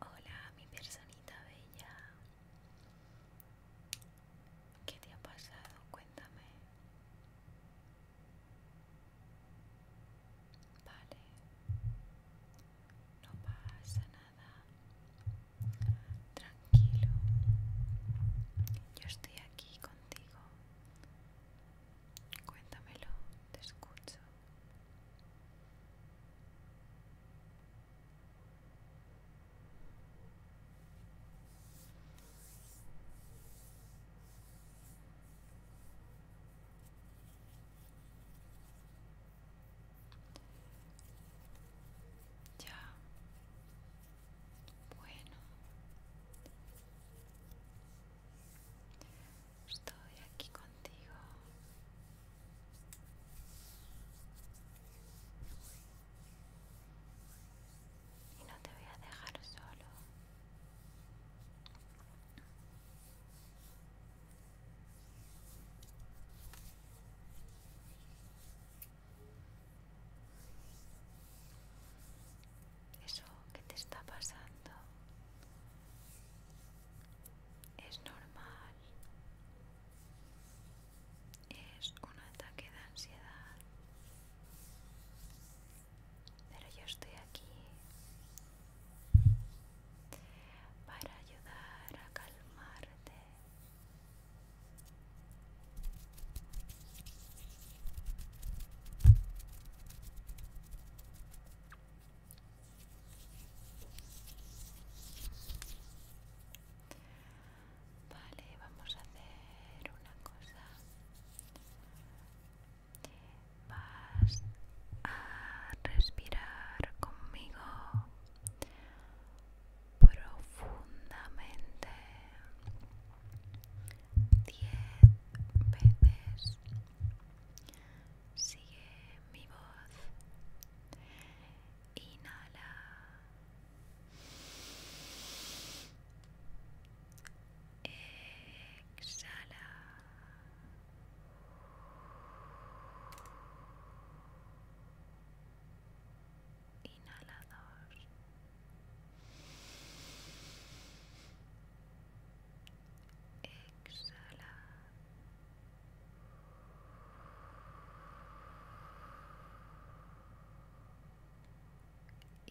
Hola, mi personita bella. ¿Qué te ha pasado? Cuéntame. Vale. No pasa nada. Tranquilo. Yo estoy aquí contigo Cuéntamelo, te escucho. Ya bueno, estoy aquí contigo. Y no te voy a dejar solo. Eso que te está pasando es normal. Es un ataque de ansiedad. Pero yo estoy aquí para ayudar a calmarte Vale, vamos a hacer una cosa. Vas a respirar conmigo profundamente diez veces. Sigue mi voz. Inhala. Exhala dos, exhala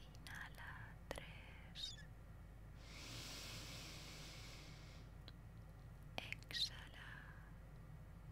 inhala tres exhala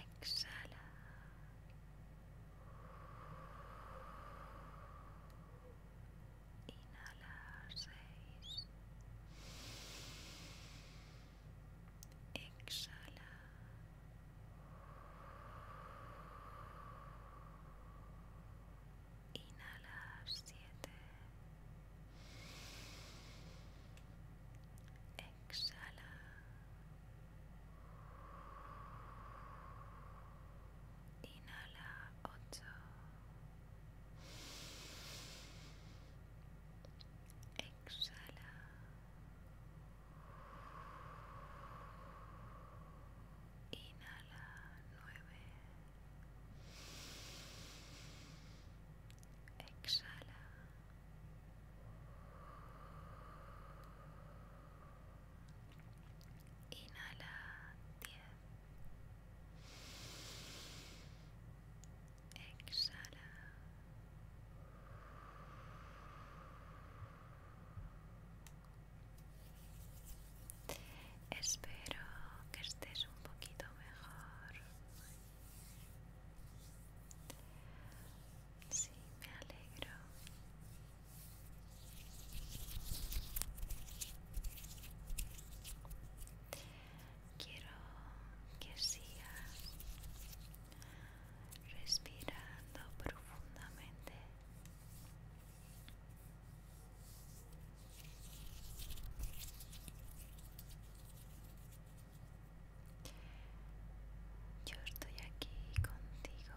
exhala. Inhala seis. Exhala. Inhala siete exhala. Inhala ocho. Exhala. Inhala nueve. Exhala. Inhala 10. Exhala. Espero que estés un poquito mejor. Sí, me alegro. Quiero que siga respirando profundamente. Yo estoy aquí contigo.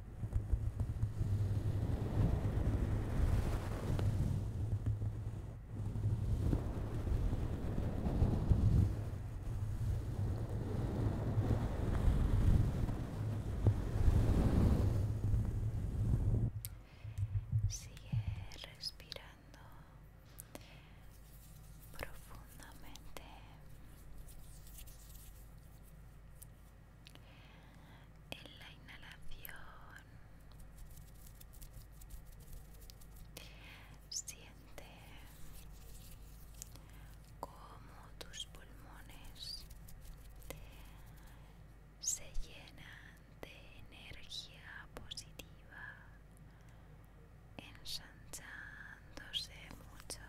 Sigue respirando profundamente en la inhalación siente como tus pulmones se llenan de energía positiva ensanchada mucho.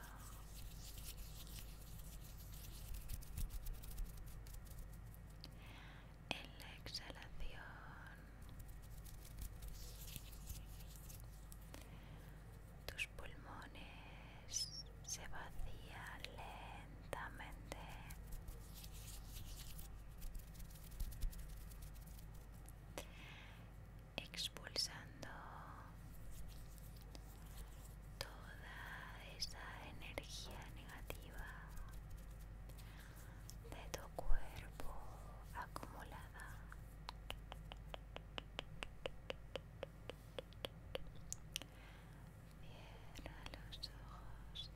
En la exhalación, tus pulmones se vacían lentamente expulsando toda esa energía negativa de tu cuerpo acumulada cierra los ojos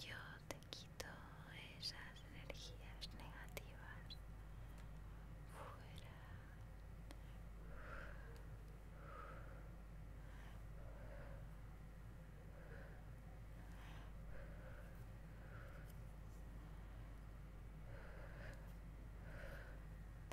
yo te quito esas energías negativas fuera.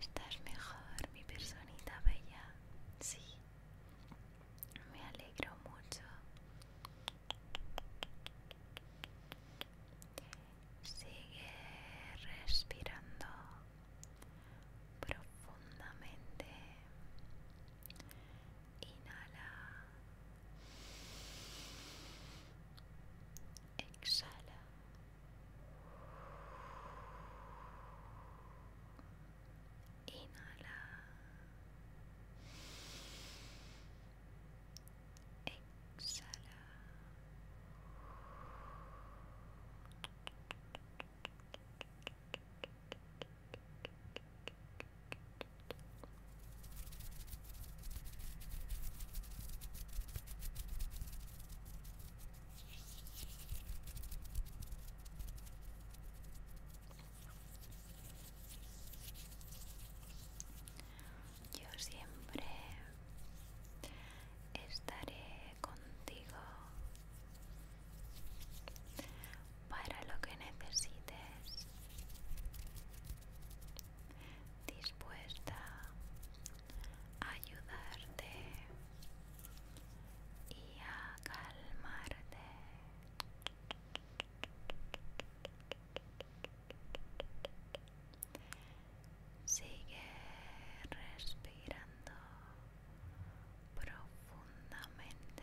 Estás mejor, mi personita bella. Sí. Me alegro mucho. Sigue respirando profundamente Inhala. Exhala. Inhala. Exhala. Yo siempre estaré contigo para lo que necesites dispuesta a ayudarte y a calmarte sigue respirando profundamente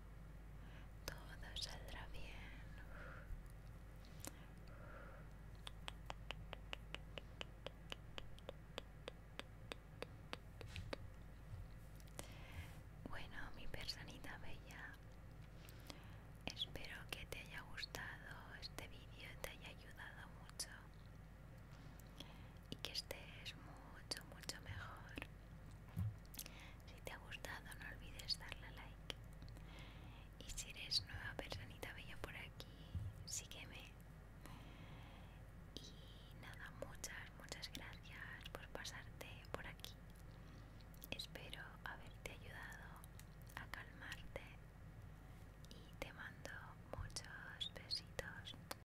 todo saldrá bien. Bueno, mi personita bella, espero que te haya gustado este vídeo y te haya ayudado mucho y que estés mucho, mucho mejor. Si te ha gustado, no olvides darle like. Y si eres nueva personita bella por aquí, sígueme. Y nada, muchas, muchas gracias por pasarte por aquí. Espero haberte ayudado a calmarte y te mando muchos besitos.